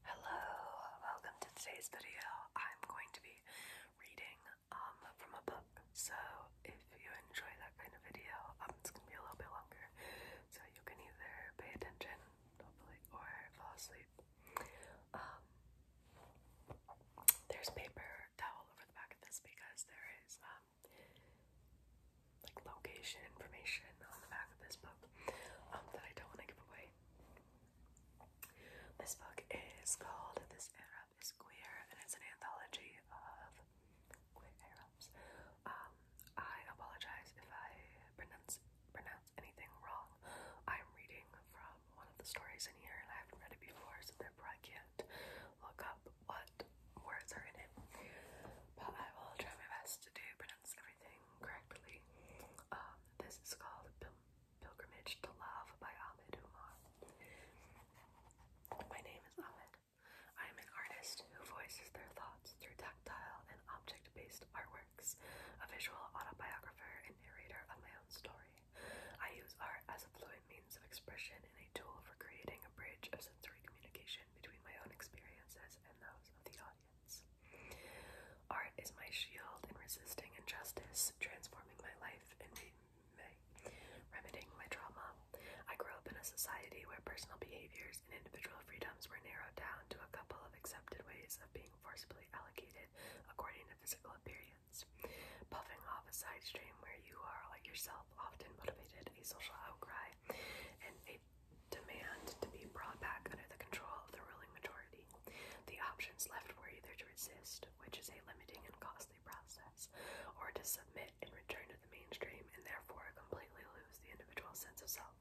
Hello, welcome to today's video. I'm going to be reading um, from a book. So if you enjoy that kind of video, um, it's gonna be a little bit longer. So you can either pay attention, hopefully, or fall asleep. Um, there's paper towel over the back of this because there is like location information on the back of this book that I don't want to give away. This book is called This Arab is Queer, and it's an anthology of queer Arabs. Um, I apologize if I pronounce pronounce anything wrong. I'm reading from one of the stories in here, and I haven't read it before, so therefore I can't look up what words are in it. But I will try my best to do pronounce correctly. Um, this is called Pilgrimage to Love by Ahmed Umar. My name is Ahmed. I am an artist who voices their thoughts through tactile and object based artworks, a visual autobiographer and narrator of my own story. I use art as a fluent means of expression and a tool for creating a bridge of sensory communication between my own experiences and those of the audience. Art is my shield in resisting injustice, transforming my life, and remedying my trauma. I grew up in a society where personal behaviors and individual freedoms were narrowed down to a couple of accepted ways of being forcibly allocated according to physical appearance. Puffing off a side stream where you are like yourself often motivated a social outcry demand to be brought back under the control of the ruling majority. The options left were either to resist, which is a limiting and costly process, or to submit and return to the mainstream and therefore completely lose the individual sense of self.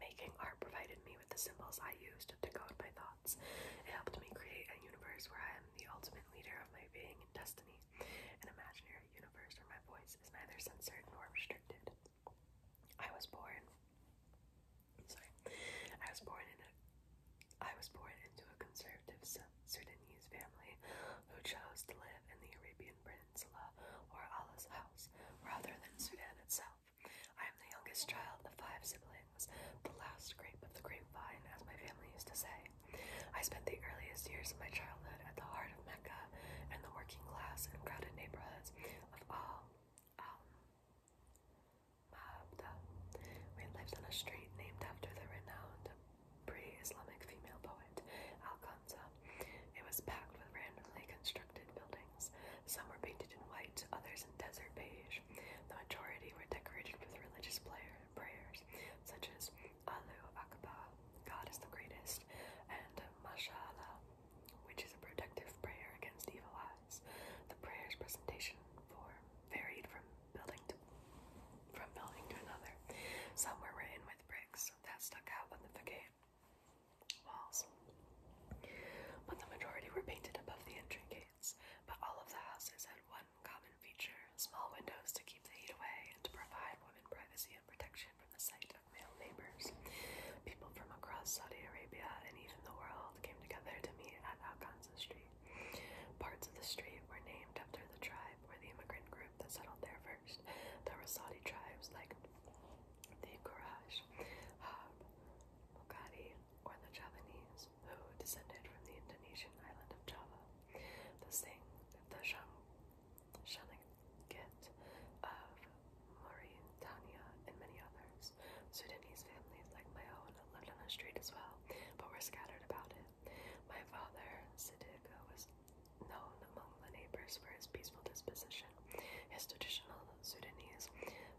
Making art provided me with the symbols I used to decode my thoughts. It helped me create a universe where I am the ultimate leader of my being and destiny, an imaginary universe where my voice is neither censored nor restricted. I was born. Sorry, I was born in a. I was born into a conservative Sudanese family who chose to live in the Arabian Peninsula or Allah's house rather than Sudan itself. I am the youngest child of five siblings, the last grape of the grapevine, as my family used to say. I spent the earliest years of my childhood at the heart of Mecca and the working class and crowded neighborhoods of all al-Mahabda, who on a street named after the renowned pre-Islamic female poet Al-Khanza. It was packed with randomly constructed buildings. Some were painted in white, others in desert beige. The majority were decorated with religious prayers, such as "Allahu Akbar, God is the greatest, and Mashallah, which is a protective prayer against evil eyes. The prayer's presentation form varied from building to from building to another. Some were written with bricks that stuck out on the facade walls, but the majority were painted above the entry gates. But all of the houses had one common feature: small windows to keep the heat away and to provide women privacy and protection from the sight male neighbors. People from across Saudi Arabia and even the world came together to meet at Alcanza Street. Parts of the street were named after the tribe or the immigrant group that settled there first. There were Saudi tribes like the Quraysh, Hab, Mukati, or the Javanese, who descended from the Indonesian island of Java. The Sing, the Shang, Shanagit of Mauritania, and many others. Sudanese families like my own lived on the street as well, but were scattered about it. My father, Siddiqa, was known among the neighbors for his peaceful disposition, his traditional Sudanese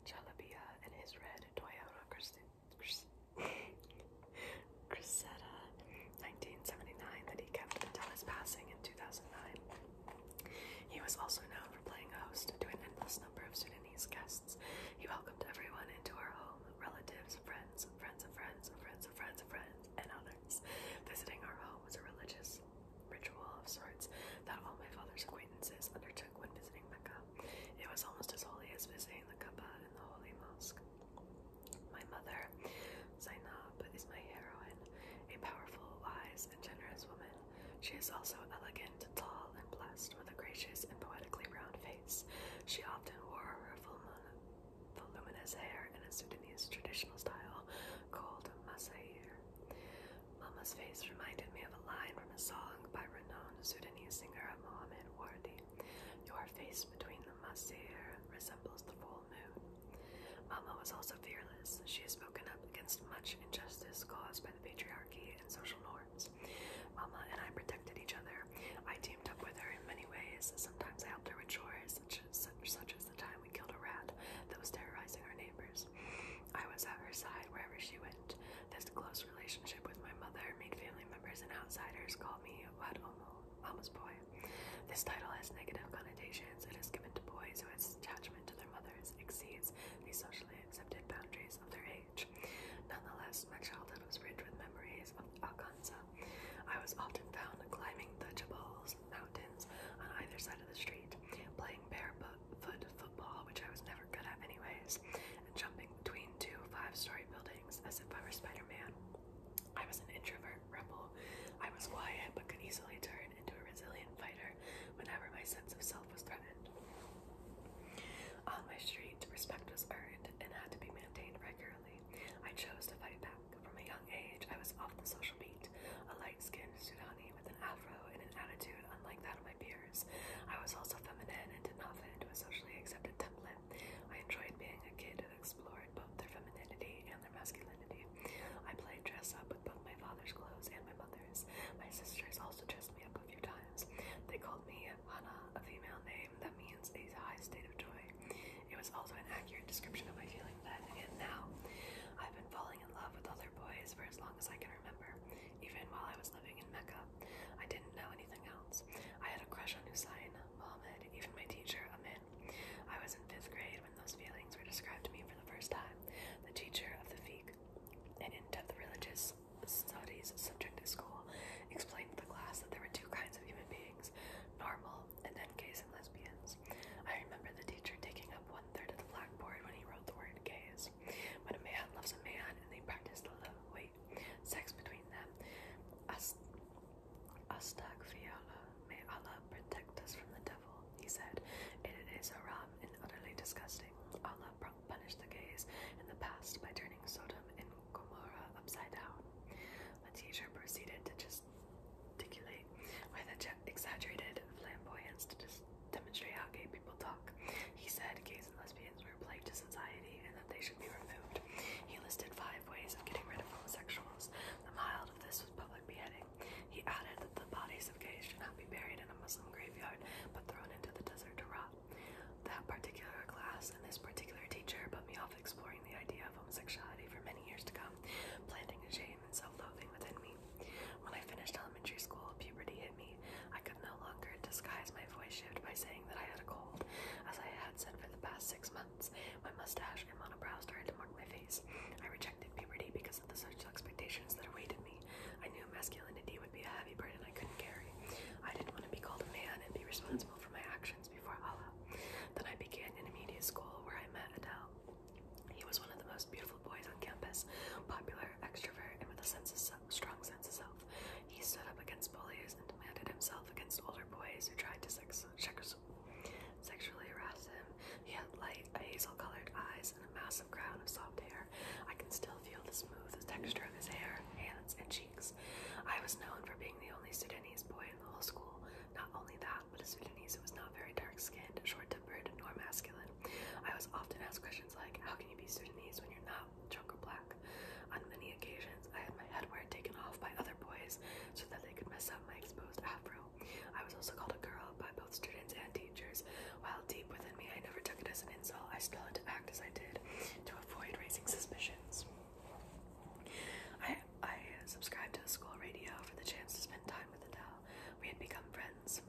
jalabiya, and his red Toyota Cressida 1979 that he kept until his passing in 2009. He was also known for playing host to an endless number of Sudanese guests. He welcomed everyone into our home relatives, friends, friends of friends, friends of friends of friends, and others. Visiting our home was a religious ritual of sorts that all my father's acquaintances undertook when visiting Mecca. It was almost as holy as visiting the Kaaba and the Holy Mosque. My mother, Zainab, is my heroine, a powerful, wise, gracious and generous woman. She is also elegant, tall, and blessed with a gracious and poetically round face. She often wore her voluminous hair in a Sudanese traditional style called masair. Mama's face reminded me of a line from a song by renowned Sudanese singer Mohamed Wardi. Your face between the masair resembles the full moon. Mama was also fearless. She has spoken up against much injustice caused by the patriarchy and social norms. Mama and I protected each other. I teamed up with her in many ways. Sometimes I helped her with chores, such as, such as the time we killed a rat that was terrorizing our neighbors. I was at her side wherever she went. This close relationship with my mother made family members and outsiders call me "what Mama's boy. This title has negative connotations. It is given to boys who attach to their mothers exceeds the socially accepted boundaries of their age. Nonetheless, my childhood was rich with memories of Alcanza. I was often found climbing the Jabals mountains on either side of the street, playing barefoot football, which I was never good at anyways, and jumping between two five-story buildings as if I were Spider-Man. I was an introvert rebel. I was quiet but could easily turn into a resilient fighter whenever my sense of self was threatened. On my street, respect was earned and had to be maintained regularly. I chose to fight back. From a young age, I was off the social beat, a light-skinned Sudani with an afro and an attitude unlike that of my peers. I was also feminine and did not fit into a socially accepted template. I enjoyed being a kid who explored both their femininity and their masculinity. I played dress-up with my father's clothes and my mother's. My sisters also dressed me up a few times. They called me Hana, a female name that means a high state of joy. It was also an accurate description of my feeling then and now. I've been falling in love with other boys for as long as I can remember, even while I was living in Mecca. I didn't know anything else. I had a crush on Hussein, Mohammed, even my teacher, Amin. I was in fifth grade when those feelings were described to me for the first time. The teacher of the fiqh an in-depth religious studies subject at school explained to the class that there were two kinds of human beings, normal and then gays and lesbians. I remember the teacher taking up one third of the blackboard when he wrote the word gays. When a man loves a man and they practice the love, wait, sex between them, Ast Astagfirullah, may Allah protect us from the he said, and it is haram and utterly disgusting. Allah punished the gays in the past by turning Sodom and Gomorrah upside down. The teacher proceeded to gesticulate with exaggerated flamboyance to demonstrate how gay people talk. He said gays and lesbians were a plague to society and that they should be removed. He listed five ways of getting rid of homosexuals. The mild of this was public beheading. He added that the bodies of Gays should not be buried in a Muslim graveyard, but thrown into the desert to rot. That particular class and this particular teacher put me off exploring the idea of homosexuality for many years to come, planting a shame and self-loathing within me. When I finished elementary school, puberty hit me. I could no longer disguise my voice shift by saying that I had a cold, as I had said for the past six months. My mustache and monobrow started to mark my face. I rejected puberty because of the social expectations that awaited me. I knew masculinity would be a heavy burden I couldn't carry. I didn't want to be called a man and be responsible for my actions before Allah. Then I began in a media school where I met Adele. He was one of the most beautiful boys on campus, popular, extrovert, and with a sense of strong sense of self. He stood up against bullies and demanded himself against older boys who tried to sex, sexually harass him he had light, hazel-colored eyes, and a massive crown of soft hair. I can still feel the smooth texture of his hair, hands, and cheeks. I was known for being the only Sudanese boy in the whole school. Not only that, but a Sudanese was not very dark-skinned, short-tempered, nor masculine. I was often asked questions like, how can you be Sudanese when you're not drunk or black? On many occasions, I had my headwear taken off by other boys so that they could mess up my exposed afro I was also called a girl by both students and teachers. While deep within me, I never took it as an insult. I still had to act as I did to avoid raising suspicions. I, I subscribed to the school radio for the chance to spend time with Adele. We had become friends.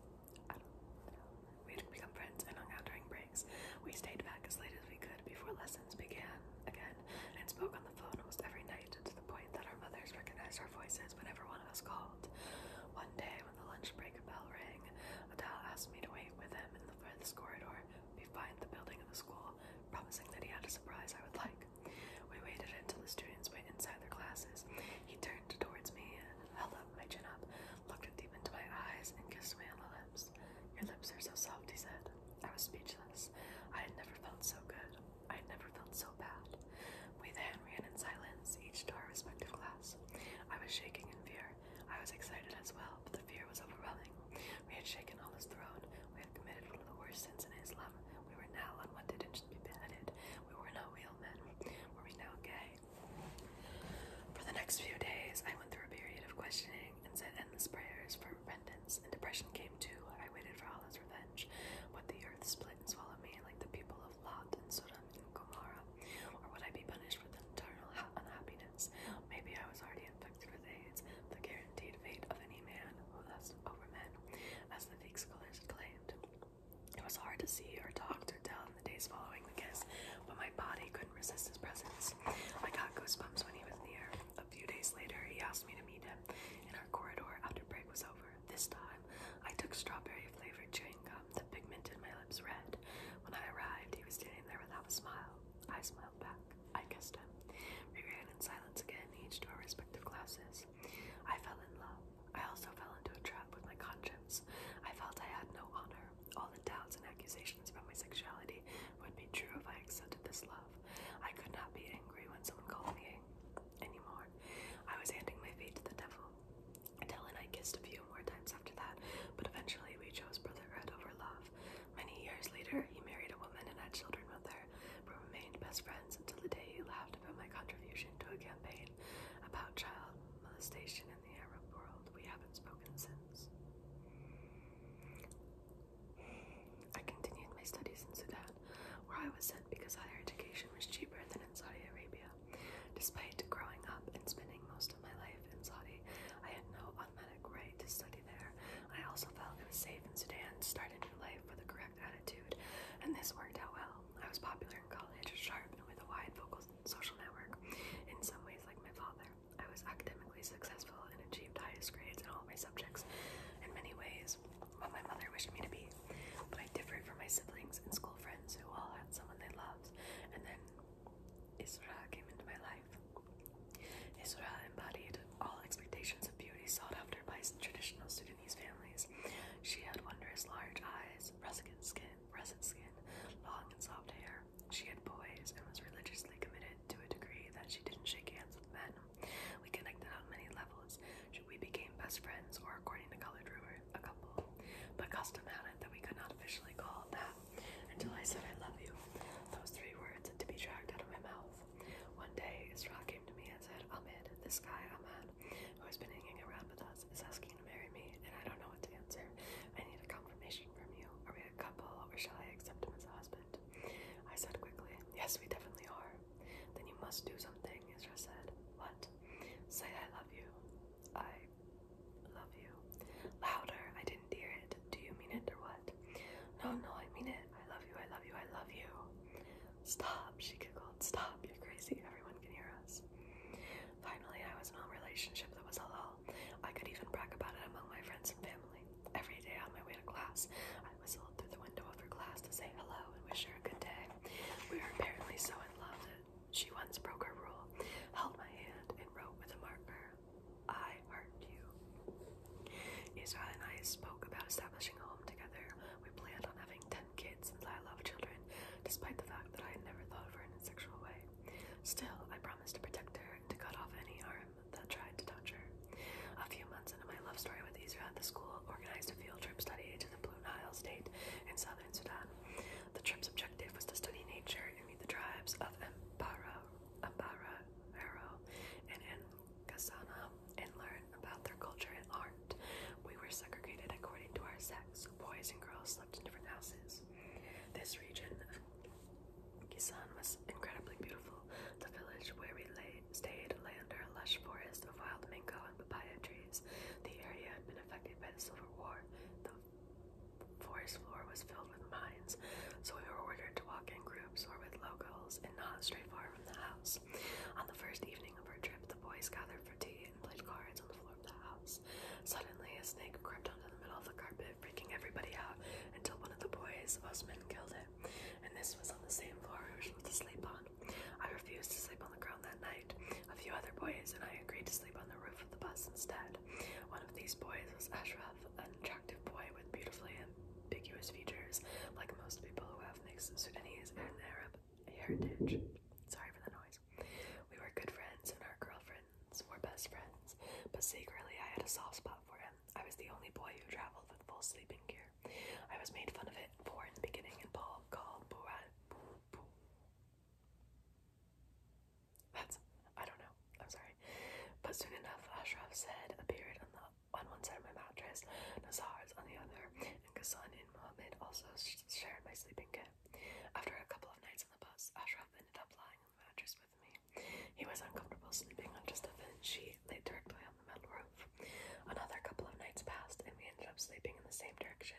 We had become friends and hung out during breaks. We stayed back as late as we could before lessons began again and spoke on the phone almost every night to the point that our mothers recognized our voices whenever one of us called. One day, the lunch break bell rang, Adele asked me to wait with him in the furthest corridor behind the building of the school, promising that he had a surprise I would like. We waited until the students went inside their classes. He turned towards me, held up my chin up, looked deep into my eyes, and kissed me on the lips. Your lips are so soft, he said. I was speechless. I had never felt so good. I had never felt so bad. We then ran in silence, each to our respective class. I was shaking in fear. I was excited as well, but the fear was overwhelming. We had shaken Allah's throne. We had committed one of the worst sins in Islam. We were now unwanted and should be beheaded. We were no real men. Were we now gay? For the next few days, I went through a period of questioning and said endless prayers for repentance, and depression came too. I waited for Allah's revenge, but the earth split and swallowed me like the people of Lot and Sodom. Gomorrah? Or would I be punished with eternal unhappiness? Maybe I was already infected with AIDS, the guaranteed fate of any man who lusts over men, as the fake scholars claimed. It was hard to see or talk to tell in the days following the kiss, but my body couldn't resist his presence. I got goosebumps when he was near. A few days later, he asked me to meet him in our corridor after break was over. This time, I took strawberry flavored chewing gum. The pigment in my lips red. When I arrived, he was standing there without a smile. I smiled back. I kissed him. We ran in silence again, each to our respective classes. I fell in love. I also fell into a trap with my conscience. I felt I had no honor. All the doubts and accusations about my sexuality would be true if I accepted this love. I could not be angry when someone called me anymore. I was handing my fate to the devil. Dell and I kissed a few more times after that, but eventually we chose brotherhood over love. Many years later, he married a woman and had children with her, but remained best friends until the day he laughed about my contribution to a campaign about child molestation in the Arab world. We haven't spoken since. I continued my studies in Sudan, where I was sent because higher education was cheaper than in Saudi Arabia. Despite growing up and spending most of my life in Saudi, I had no automatic right to study there. I also felt it was safe in Sudan to start a new life with the correct attitude, and this worked out well. I was popular in college, sharp, and with a wide vocal social network, in some ways like my father. I was academically successful and achieved highest grades in all my subjects in many ways. What my mother wished me to be. But I differed from my siblings and school friends who all had someone they loved, and then Isra came into my life. Isra embodied all expectations of beauty sought after by traditional Sudanese families. She had wondrous large eyes, russet skin, russet skin, long and soft hair. She had poise and was religiously committed to a degree that she didn't shake hands with men. We connected on many levels we became best friends, or according to Colored Rumor, a couple. But custom had it that we could not officially call it that until I said I love you. Those three words had to be dragged out of my mouth. One day, Isra came to me and said, Ahmed, this guy, Ahmed, who has been hanging around with us, is asking to marry me, and I don't know what to answer. I need a confirmation from you. Are we a couple, or shall I accept him as a husband? I said quickly, Yes, we definitely are. Then you must do something, Isra said. What? Say I love I love you. Louder. I didn't hear it. Do you mean it or what? No, no, I mean it. I love you. I love you. I love you. Stop, she giggled. Stop. You're crazy. Everyone can hear us. Finally, I was in a relationship that was halal. I could even brag about it among my friends and family. Every day on my way to class, I whistled through the window of her class to say hello and wish her a good day. We were apparently so in love she once broke her rule, held my hand, and wrote with a marker, I heart you. Israel and I spoke about establishing a home together. We planned on having 10 kids since I love children, despite the fact that I had never thought of her in a sexual way. Still, I promised to protect her and to cut off any arm that tried to touch her. A few months into my love story with Israel at the school, organized a field trip study to the Blue Nile State in southern the trip's objective was to study nature and meet the tribes of Ambara, Ambara, Aro, and Nkasana and learn about their culture and art. We were segregated according to our sex. Boys and girls slept in different houses. This region of Kisan was incredibly beautiful. The village where we stayed lay under a lush forest of wild mango and papaya trees. The area had been affected by the Civil War, the forest floor was filled with mines, so we were ordered to walk in groups or with locals and not stray far from the house. On the first evening of our trip, the boys gathered for tea and played cards on the floor of the house. Suddenly, a snake crept onto the middle of the carpet, freaking everybody out until one of the boys, us men, killed it. And this was on the same floor we were supposed to sleep on. I refused to sleep on the ground that night. A few other boys and I agreed to sleep on the roof of the bus instead. One of these boys was Ashraf, an attractive boy with beautifully ambiguous features, like most people who have mixed Sudanese and Arab heritage. Sorry for the noise. We were good friends and our girlfriends were best friends, but secretly I had a soft spot for him. I was the only boy who traveled with full sleeping gear. I was made fun of it for in the beginning and Paul called Burat that's I don't know. I'm sorry. But soon enough, Ashraf's head appeared on the on one side of my mattress, Nazar's on the other, and Ghassan and Mohammed also shared my sleeping kit. After a couple of nights on the bus, Ashraf ended up lying on the mattress with me. He was uncomfortable sleeping on just a thin sheet laid directly on the metal roof. Another couple of nights passed, and we ended up sleeping in the same direction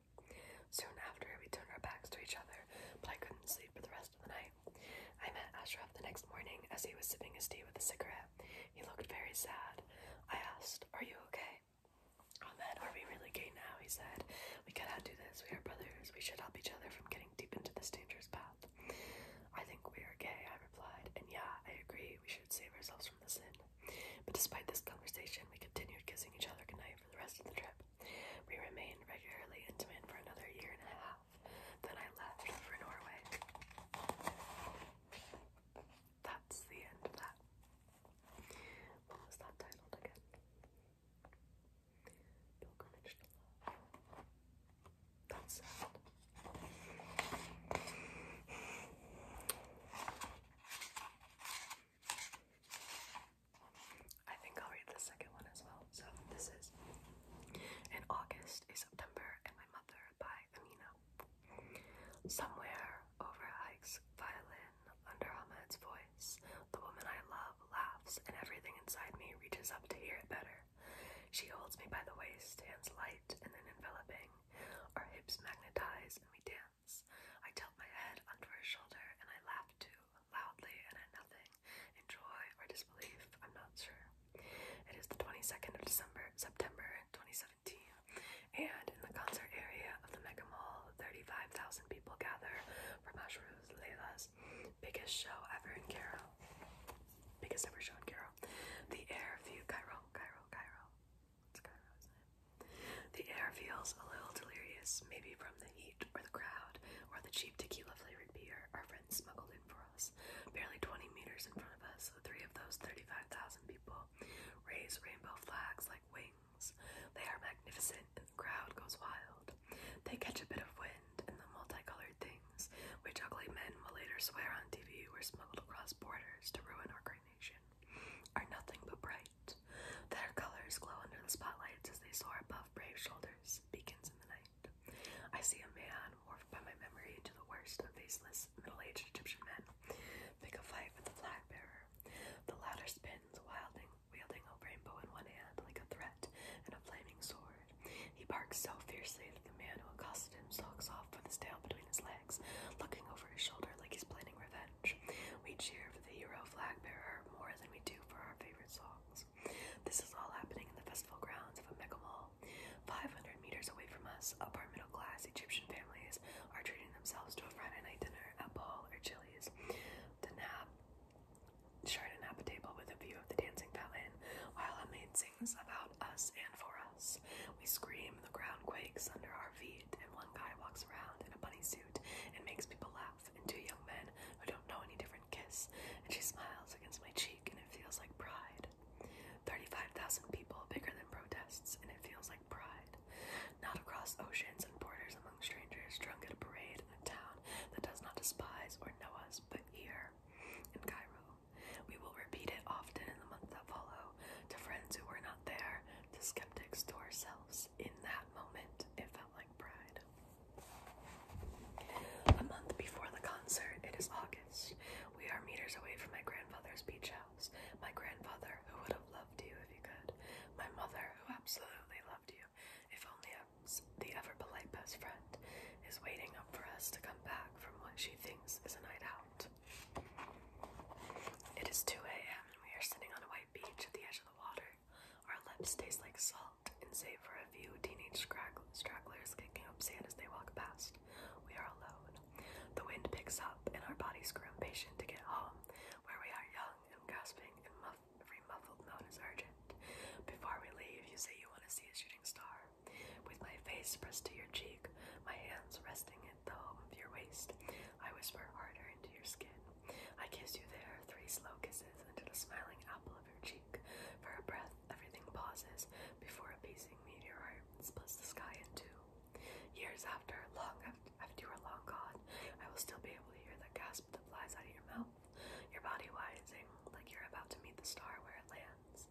Soon after, we turned our backs to each other, but I couldn't sleep for the rest of the night. I met Ashraf the next morning as he was sipping his tea with a cigarette. He looked very sad. I asked, Are you okay? Ahmed, are we really gay now? He said. We cannot do this. We are brothers. We should help each other from getting deep into this dangerous path. I think we are gay, I replied, and yeah, I agree. We should save ourselves from the sin. But despite this conversation, we continued kissing each other goodnight for the rest of the trip. We remained regularly intimate for another year and a half. Then I left for Norway. That's the end of that. What was that titled again? Pilgrimage to That's sad. I think I'll read the second one as well. So this is In August is September and My Mother by Amina. Somewhere over Ike's violin, under Ahmed's voice, the woman I love laughs and everything inside me reaches up to hear it better. She holds me by the waist, hands light and then enveloping. Our hips magnetize and we dance. I tilt my head under her shoulder and I laugh too, loudly and at nothing, in joy or disbelief, I'm not sure. It is the 22nd of December, September 2017, and in the concert area of the Mega Mall, 35,000 people gather for Mashroo's Layla's biggest show ever in Cairo. Biggest ever show in Cairo. The Air View Cairo, Cairo, Cairo. The air feels a little delirious, maybe from the heat or the crowd or the cheap tequila flavored beer our friends smuggled in for us. Barely 20 meters in front of us, three of those 35,000 people raise rainbow flags like wings. They are magnificent, and the crowd goes wild. They catch a bit of wind, and the multicolored things, which ugly men will later swear on TV were smuggled across borders to ruin our great nation, are nothing but bright light. Their colors glow under the spotlights as they soar above brave shoulders, beacons in the night. I see a man warped by my memory into the worst of faceless middle-aged Egyptian men. Pick a fight with the flag bearer. The latter spins, wilding, wielding a rainbow in one hand like a threat and a flaming sword. He barks so fiercely that the man who accosted him stalks off with his tail between his legs, looking over his shoulder like he's planning revenge. We cheer for the Euro flag bearer more than we do for our favorite songs. This is all happening in the festival grounds of a mega mall. 500 meters away from us, upper middle class Egyptian families are treating themselves to a Friday night dinner at Ball or Chili's. The nap sharing a nap table with a view of the dancing fountain while a maid sings about us and for us. We scream, the ground quakes under our feet and one guy walks around in a bunny suit and makes people laugh, and two young men who don't know any different kiss, and she smiles against my cheek, and it feels like pride. 35,000 people, bigger than protests, and it feels like pride. Not across oceans and borders among strangers, drunk at a parade in a town that does not despise or know us, but here in Cairo. We will repeat it often in the months that follow to friends who were there, the skeptics to ourselves. In that moment, it felt like pride. A month before the concert, it is August. We are meters away from my grandfather's beach house. My grandfather, who would have loved you if you could. My mother, who absolutely loved you, if only as the ever polite best friend, is waiting up for us to come back from what she thinks is a night out. It is 2 a.m. and we are sitting on a white beach at the edge of the water. Our lips taste like salt, and save for a few teenage stragglers kicking up sand as they walk past, we are alone. The wind picks up, and our bodies grow impatient to get home, where we are young and grasping, and muff every muffled note is urgent. Before we leave, you say you want to see a shooting star. With my face pressed to your cheek, my hands resting the home of your waist. I whisper harder into your skin. I kiss you there, three slow kisses into the smiling apple of your cheek. For a breath, everything pauses before a pacing meteorite splits the sky in two. Years after, long after, after you are long gone, I will still be able to hear the gasp that flies out of your mouth, your body widening like you're about to meet the star where it lands.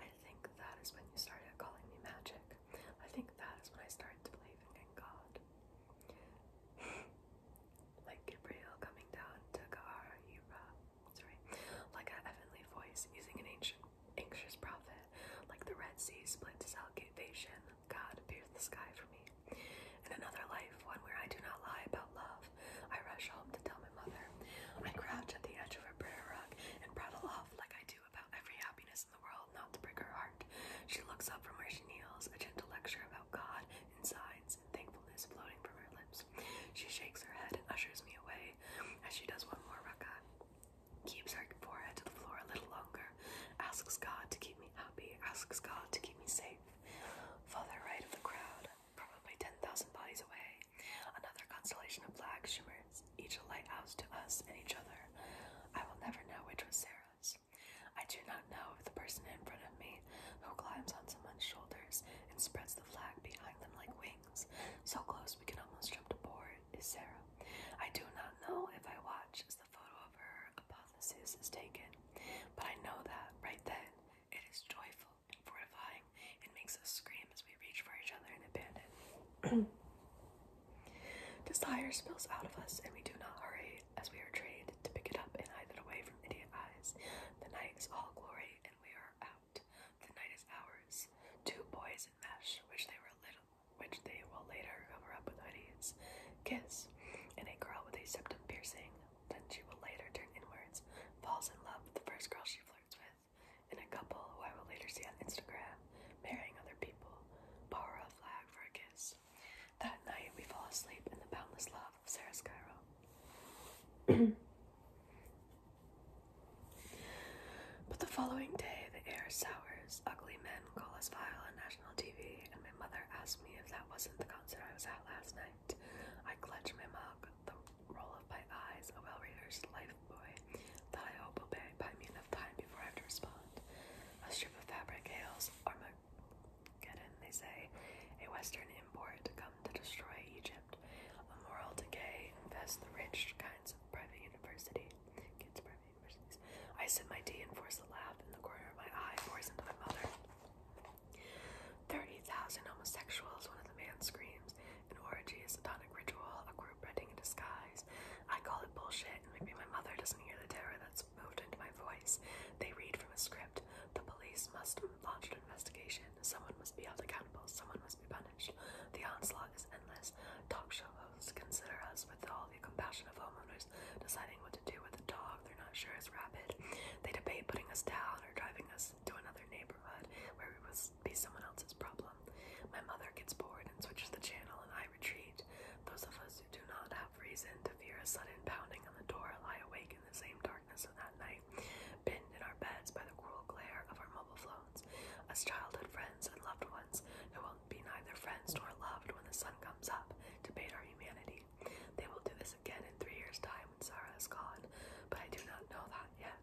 I think that is when you started calling me magic. I think that is when I started believing in God. like Gabriel coming down to Kahara, sorry, like a heavenly voice using an ancient, anxious prophet. Like the Red Sea split to salvation, God pierced the sky for me. In another life, one where I do not lie about love, I rush home to tell my mother. I crouch at the edge of her prayer rug and prattle off like I do about every happiness in the world not to break her heart. She looks up from where she kneels, a gentle lecture about God and signs and thankfulness floating from her lips. She shakes her head and ushers me away. As she does one more rak'ah, keeps her forehead to the floor a little longer, asks God to keep me happy, asks God to keep me safe. Father, right of the crowd, probably 10,000 bodies away, another constellation of black shimmer each a lighthouse to us and each other. I will never know which was Sarah's. I do not know if the person in front of me who climbs on someone's shoulders and spreads the flag behind them like wings, so close we can almost jump aboard, is Sarah. I do not know if I watch as the photo of her hypothesis is taken, but I know that right then it is joyful and fortifying and makes us scream as we reach for each other in abandon. Desire spills out of us, and we do not hurry as we are trained to pick it up and hide it away from idiot eyes. The night is all glory, and we are out. The night is ours. Two boys in mesh, which they were little, which they will later cover up with hoodies. Kiss, and a girl with a septum piercing. Then she will later turn inwards, falls in love with the first girl she flirts with, and a couple who I will later see on Instagram marrying other people. Borrow that night we fall asleep in the boundless love of Sarah Skyro. but the following day the air sours, ugly men call us vile on national TV, and my mother asks me if that wasn't the concert I was at last night. I clutch my mug, the roll of my eyes, a well-rehearsed life boy that I hope will pay me enough time before I have to respond. A strip of fabric hails Armageddon, they say, a Western import come to destroy Egypt. A moral decay infests the rich kinds of private university. Kids, private universities. I sip my tea and force a laugh in the corner of my eye, pours into my mother. 30,000 homosexuals, one of the man screams. An orgy, is a tonic ritual, we in disguise. I call it bullshit, maybe my mother doesn't hear the terror that's moved into my voice. They read from a script. The police must launch an investigation. Someone must be held accountable. Someone must be punished. The onslaught is endless. Talk show hosts consider us with all the compassion of homeowners, deciding what to do with a dog they're not sure is rabid. They debate putting us down or driving us to another neighborhood where we must be someone else's problem. My mother gets bored and switches the channel, and I retreat. Those of us who do not have reason to fear a sudden pounding on the door lie awake in the same darkness of that night, pinned in our beds by the cruel glare of our mobile phones. As childhood friends and loved ones who will be neither friends nor loved when the sun comes up, to debate our humanity. They will do this again in three years' time when Sarah is gone, but I do not know that yet.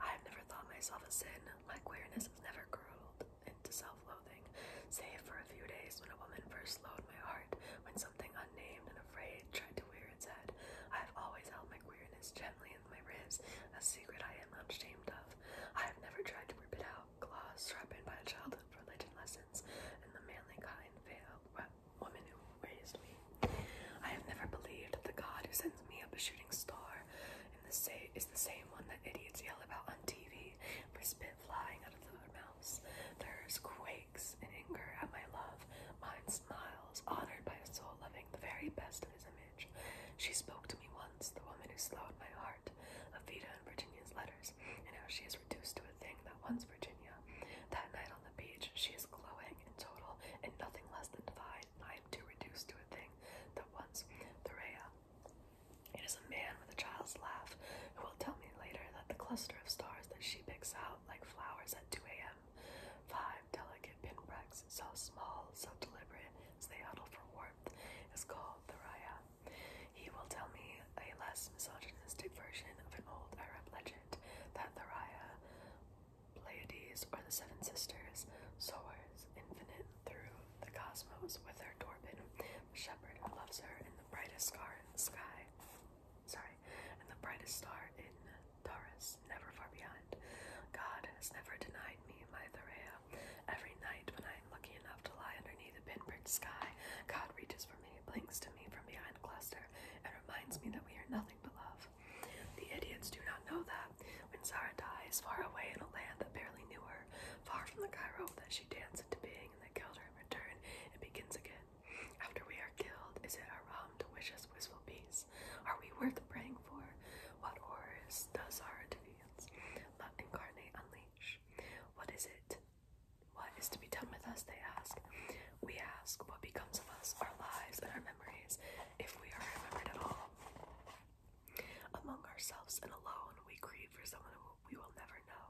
I have never thought myself a sin. My queerness has never curled into self-loathing, save for a few days when a woman first slowed my heart, when something unnamed and afraid tried to wear its head. I have always held my queerness gently in my ribs, a secret I am not ashamed of. I have never tried to rip it out, claws strapped in by a childhood religion lessons, and the manly kind veiled woman who raised me. I have never believed that the God who sends me up a shooting star and the same is the same one that idiots yell about on TV for spit flying out of their mouths. There's quakes and anger at my love. Mine smiles, honored by a soul loving the very best of his image. She spoke to me once, the woman who slowed my heart, of and Virginia's letters, and how she is reduced to a thing that once Virginia. That night on the beach, she is glowing in total in nothing less than divine. I am too reduced to a thing that once Thorea. It is a man with a child's laugh who will tell me later that the cluster of stars that she picks out like flowers at 2 a.m. Five delicate pinpricks, so small, so deliberate as they huddle for warmth, is called Thorea. He will tell me a less misogynistic version of an old Arab legend that Thoria, Pleiades, or the Seven Sisters, Soars Infinite, through the cosmos with her Torpin. The shepherd loves her and the brightest star in the sky. Sorry, and the brightest star in Taurus, never far behind. God has never denied me my Thorea. Every night when I am lucky enough to lie underneath a pinprick sky, God reaches for me, blinks to me from behind a cluster, and reminds me that we are nothing but love. The idiots do not know that. When Zara dies, far away in a land that barely knew her, far from the Cairo that she danced into being and that killed her in return, it begins again. After we are killed, is it our wrong um to wish us wistful peace? Are we worth praying for? What horrors does Zara deviance? Let incarnate unleash. What is it? What is to be done with us, they ask. We ask what becomes of us, our lives, and our memories, if we are remembered at all. Among ourselves and alone, we grieve for someone we will never know.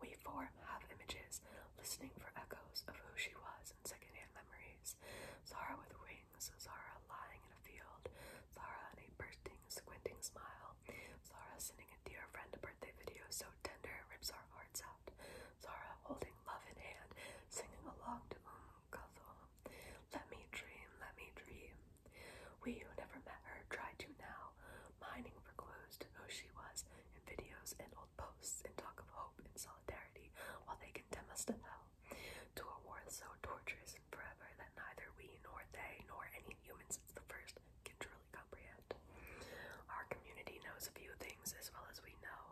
We form half images, listening for echoes of who she was in secondhand memories. Zara with wings, Zara lying in a field, Zara in a bursting, squinting smile, Zara sending a dear friend a birthday video so tender it rips our hearts out, Zara holding love in hand, singing along to Um Let me dream, let me dream. We who never met her try to now, mining for clues to who she was in videos and old posts and talk of hope and solidarity while they condemn us to hell. To a war so torturous and forever that neither we nor they nor any humans since the first can truly comprehend. Our community knows a few things as well as we know.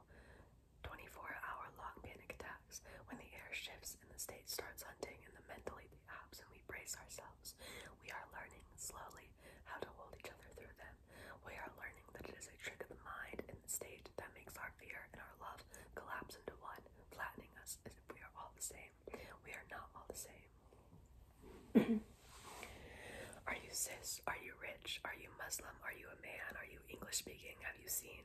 24 hour long panic attack. When the air shifts and the state starts hunting and the mentally the and we brace ourselves, we are learning slowly how to hold each other through them. We are learning that it is a trick of the mind and the state that makes our fear and our love collapse into one, flattening us as if we are all the same. We are not all the same. Are you cis? Are you rich? Are you Muslim? Are you a man? Are you English speaking? Have you seen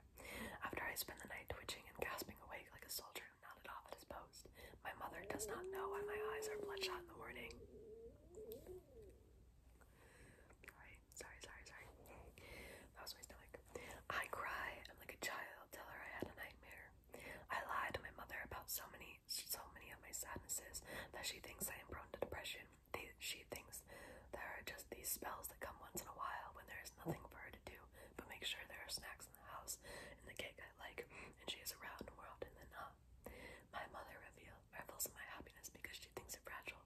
After I spend the night twitching and gasping awake like a soldier who nodded off at his post, my mother does not know why my eyes are bloodshot in the morning. Sorry, sorry, sorry, sorry. That was my stomach. I cry. I'm like a child. Tell her I had a nightmare. I lied to my mother about so many, so many of my sadnesses that she thinks I am prone to depression. she thinks there are just these spells that come once in a while when there is nothing for do, but make sure there are snacks in the house and the cake I like, and she is around more often than not. My mother reveal, revels in my happiness because she thinks it fragile.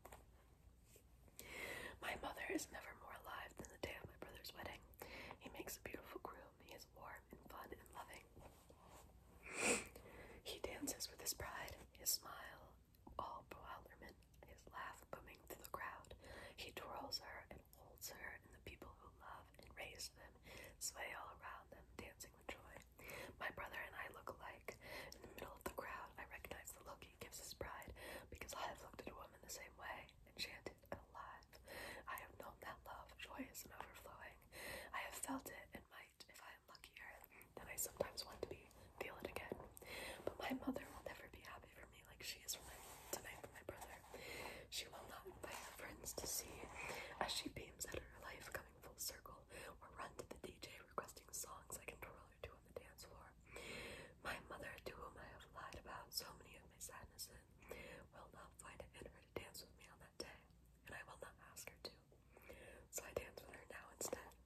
My mother is never more alive than the day of my brother's wedding. He makes a beautiful groom. He is warm and fun and loving. He dances with his pride. His smile all bewilderment, his laugh booming through the crowd. He twirls her and holds her, and the people who love and raise them sway all around them, dancing with joy. My brother and I look alike. In the middle of the crowd, I recognize the look he gives his bride, because I have looked at a woman the same way, enchanted and alive. I have known that love, joyous and overflowing. I have felt it, and might, if I am luckier, than I sometimes want to be, feel it again. But my mother will never be happy for me like she is tonight for my brother. She will not invite friends to see as she beams at her life coming full circle or run to the DJ requesting songs I can twirl her to on the dance floor. My mother, to whom I have lied about so many of my sadnesses, will not find it in her to dance with me on that day, and I will not ask her to. So I dance with her now instead.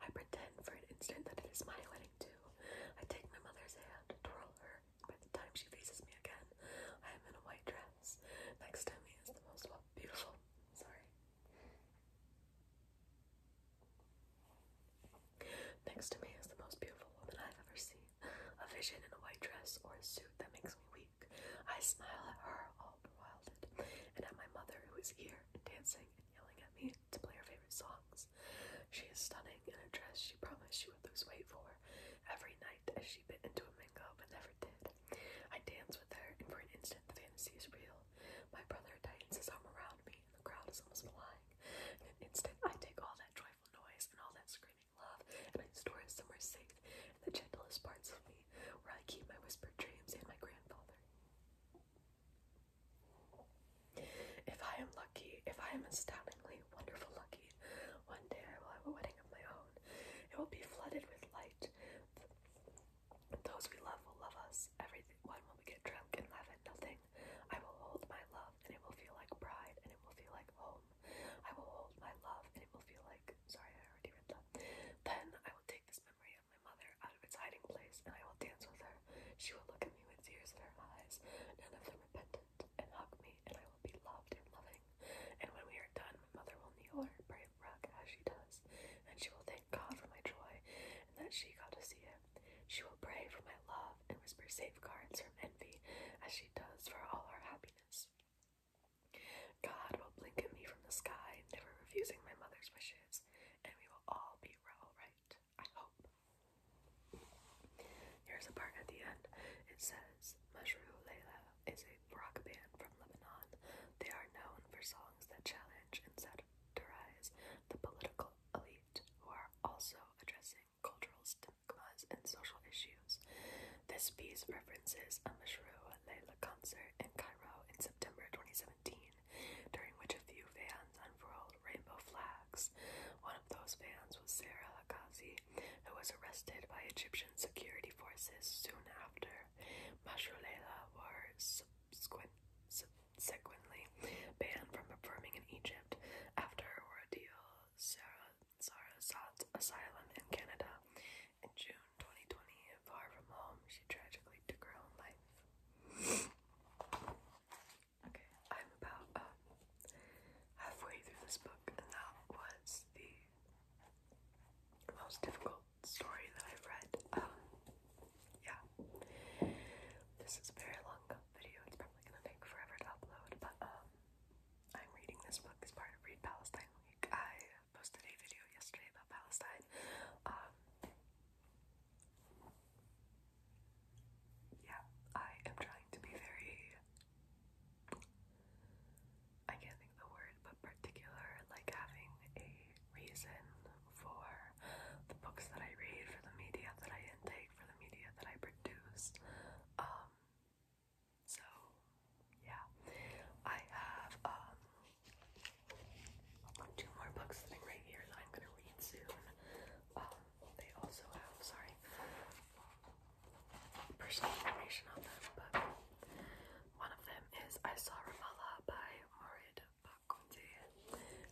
I pretend for an instant that it is my wedding too. I take my mother's hand, twirl her. By the time she faces me again, I am in a white dress. Next to me is the most beautiful. Sorry. Next to me is the most beautiful woman I've ever seen. A vision in a white dress or a suit that makes me weak. I smile at her, all bewildered, and at my mother who is here and dancing and yelling at me to play her favorite songs. She is stunning in a dress she promised she would lose weight for every night as she bit into a mango but never did. I dance with her, and for an instant the fantasy is real. My brother tightens his arm around me, and the crowd is almost flying. In an instant, I take all that joyful noise and all that screaming love, and I store it somewhere safe in the gentlest parts of me, where I keep my whispered dreams and my grandfather. If I am lucky, if I am astoundingly wonderful lucky, one day I will have a wedding of my own. It will be flooded with light. Those we love will love us. Every Everyone will get drunk and laugh at nothing. I will hold my love, and it will feel like pride, and it will feel like home. I will hold my love, and it will feel like. Sorry, I already read that. Then I will take this memory my mother out of its hiding place, and I will dance with her. She will look at me with tears in her eyes, none of them repentant, and hug me, and I will be loved and loving. And when we are done, my mother will kneel on pray brave rug as she does, and she will thank God for my joy and that she got to see it. She will pray for my love and whisper safeguards from envy as she does for all our happiness. God will blink at me from the sky, never refusing my mother's wishes and we will all be all right. I hope. Here's a part at the end. It says, Majru Leila is a rock band from Lebanon. They are known for songs that challenge and satirize the political elite, who are also addressing cultural stigmas and social issues. This piece references a Mashru Leila concert in Cairo in September 2017, during which a few fans unfurled rainbow flags. One of those fans was Sarah Qazi, who was arrested by Egyptian security forces soon after. Mashru Leila were subsequently banned from performing in Egypt after her ordeal. Sarah, Sarah sought asylum in Canada in June 2020, far from home, she tragically took her own life. okay, I'm about um, halfway through this book, and that was the most difficult story that I've read. Um, yeah. This is a very long video, it's probably gonna take forever to upload, but um, I'm reading this book as part Read Palestine Week. I posted a video yesterday about Palestine. Uh, yeah, I am trying to be very. I can't think the word, but particular, like having a reason for the books that I read, for the media that I intake, for the media that I produce. Um, so, yeah. I have um, Two more books sitting right here that I'm gonna read soon. Um, they also have sorry personal information on them, but one of them is I Saw Ramallah by Morid Bakundi,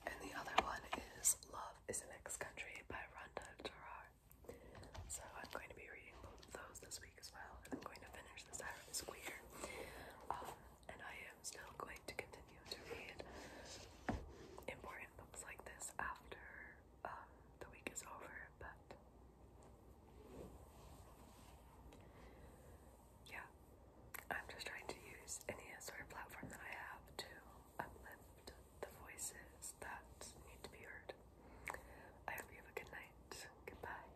and the other one is Love is an Ex Country by Rhonda Gerard. So I'm going to be reading those this week as well, and I'm going to finish this out of and I am still going to continue to read important books like this after um, the week is over, but yeah, I'm just trying to use any sort of platform that I have to uplift the voices that need to be heard. I hope you have a good night. Goodbye.